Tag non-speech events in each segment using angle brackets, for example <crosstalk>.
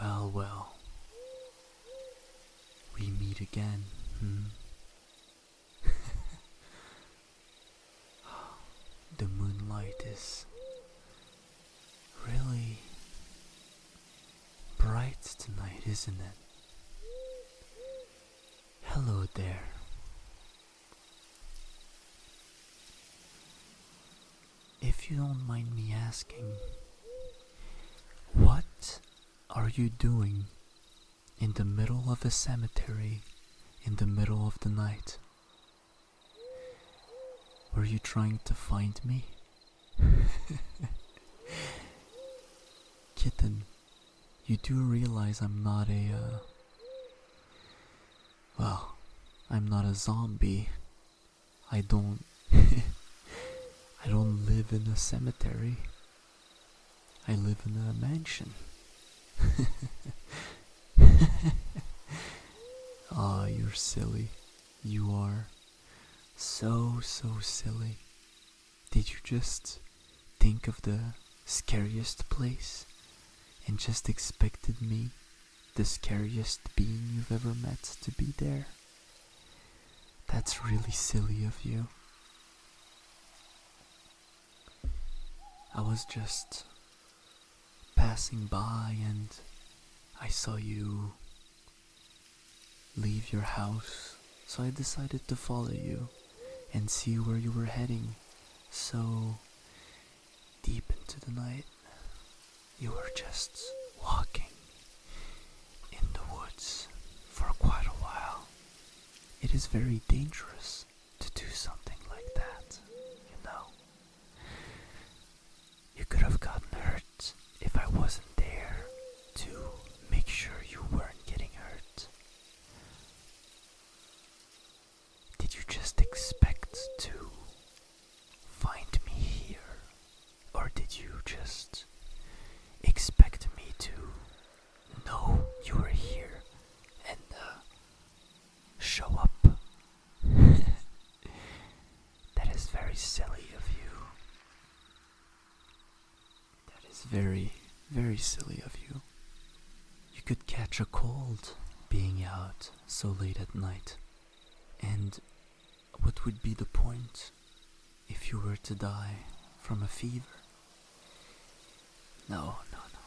Well, well. We meet again, hmm? <laughs> the moonlight is really bright tonight, isn't it? Hello there if you don't mind me asking, what are you doing in the middle of a cemetery in the middle of the night? Were you trying to find me? <laughs> Kitten, you do realize I'm not a, uh, well, I'm not a zombie, I don't. <laughs> I don't live in a cemetery. I live in a mansion. <laughs> Ah, you're silly. You are so, so silly. Did you just think of the scariest place and just expected me the scariest being you've ever met to be there. That's really silly of you. I was just passing by and I saw you leave your house, so I decided to follow you and see where you were heading. So deep into the night, you were just walking in the woods for quite a while. It is very dangerous to do something like that, you know. You could have gotten hurt if I wasn't there to make sure you weren't getting hurt. Did you just expect to find me here? Or did you just expect me to know you were here and uh, show up? <laughs> that is very silly of you. That is very, very silly of you. You could catch a cold being out so late at night. And what would be the point if you were to die from a fever? No, no, no.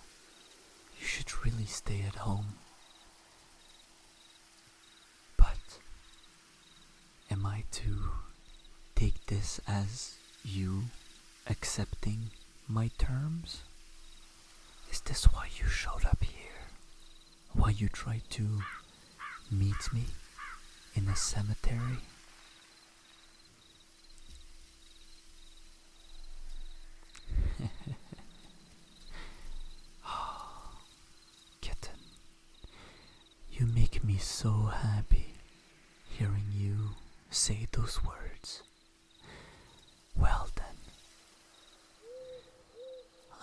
You should really stay at home. But am I to take this as you accepting my terms? Is this why you showed up here? Why you tried to meet me in the cemetery? <laughs> Ah, kitten, you make me so happy hearing you say those words. Well then,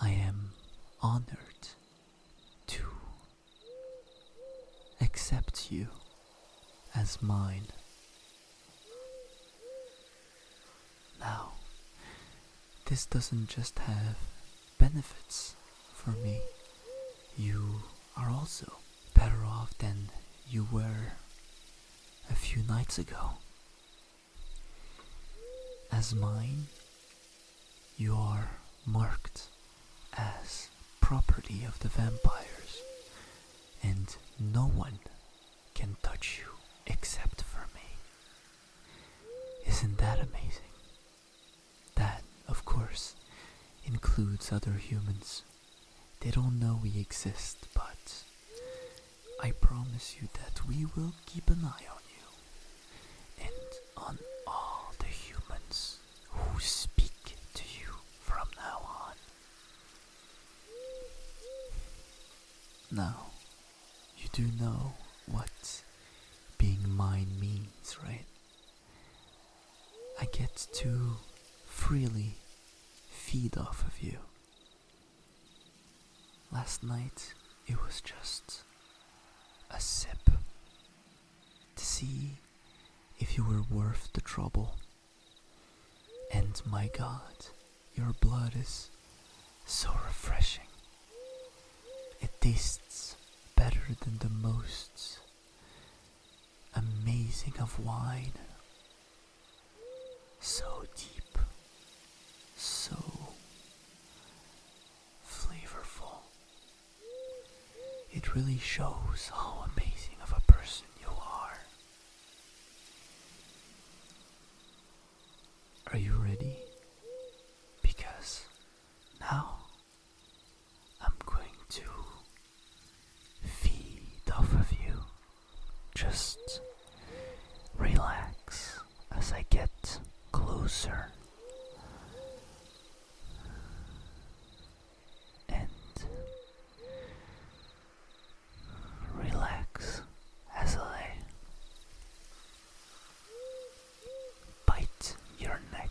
I am honored to accept you as mine. Now, this doesn't just have benefits for me, you are also better off than you were a few nights ago. As mine, you are marked as property of the vampires, and no one can touch you except for me. Isn't that amazing? That, of course, includes other humans they don't know we exist, but I promise you that we will keep an eye on you and on all the humans who speak to you from now on. Now, you do know what being mine means, right? I get to freely feed off of you. Last night it was just a sip to see if you were worth the trouble. And my god, your blood is so refreshing. It tastes better than the most amazing of wine, so deep, so flavorful. It really shows how amazing of a person you are. Are you ready? Because now I'm going to feed off of you. Just relax as I get closer. And relax as I bite your neck.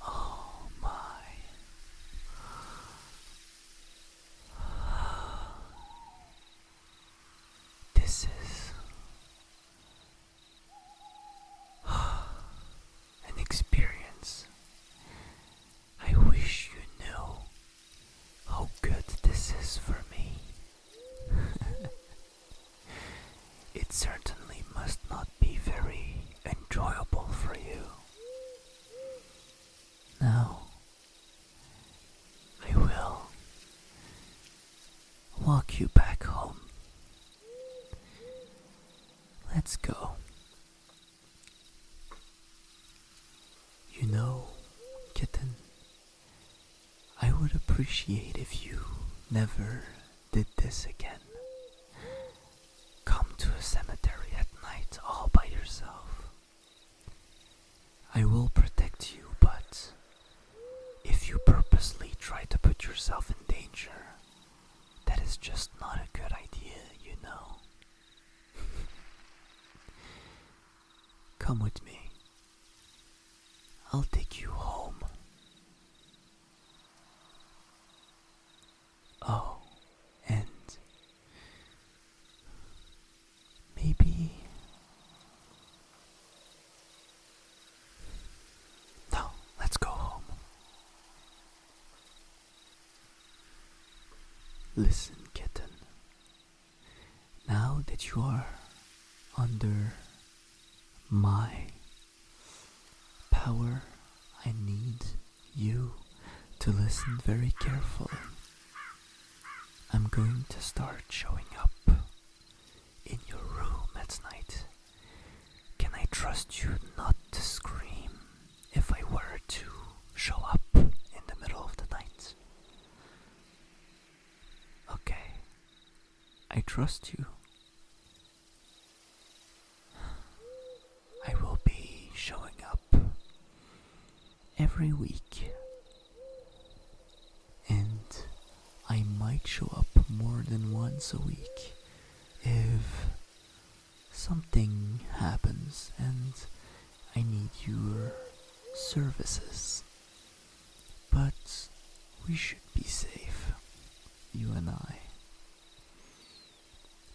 Oh my. This is <sighs> an experience. I wish you knew how good this is for me. <laughs> it certainly must not be very enjoyable for you. Now, I will walk you back home. Let's go. You know, kitten, I would appreciate if you never did this again. Come to a cemetery at night all by yourself. I will protect you, but if you purposely try to put yourself in danger, that is just not a good idea, you know. <laughs> Come with me. I'll take you home. O oh, and maybe No, let's go home. Listen, kitten. Now that you are under my power, I need you to listen very carefully. I'm going to start showing up in your room at night. Can I trust you not to scream if I were to show up in the middle of the night? Okay, I trust you. I will be showing up every week, and I might show up more than once a week if something happens and I need your services. But we should be safe, you and I.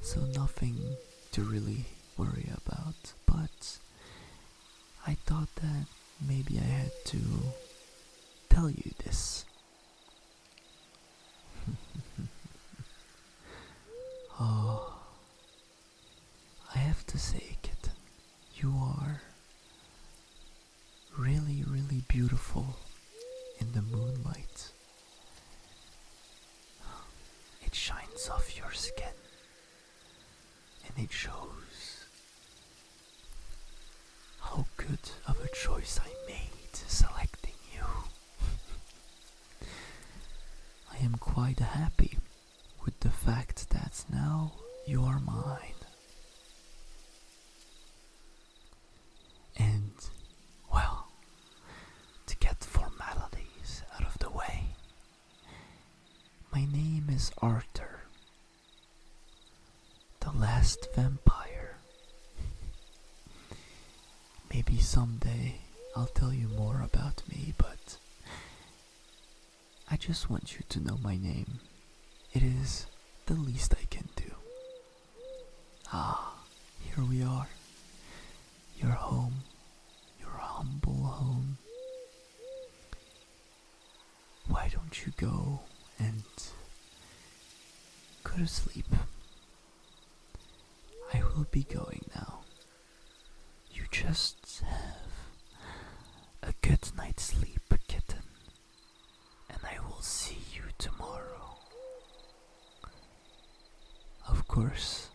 So nothing to really worry about, but I thought that maybe I had to tell you this. <laughs> oh, I have to say, kitten, you are really, really beautiful in the moonlight. It shines off your skin and it shows how good of a choice I made selecting you. <laughs> I am quite happy with the fact that now you are mine and, well, to get formalities out of the way, my name is Arthur, the last vampire. <laughs> Maybe someday I'll tell you more about me, but I just want you to know my name. It is the least I can do. Ah, here we are. Your home, your humble home. Why don't you go and go to sleep? I will be going now. You just have a good night's sleep, kitten and I will see you tomorrow. Of course,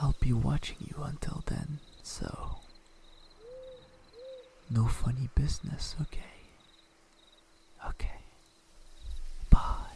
I'll be watching you until then, so no funny business, okay? Okay. Bye.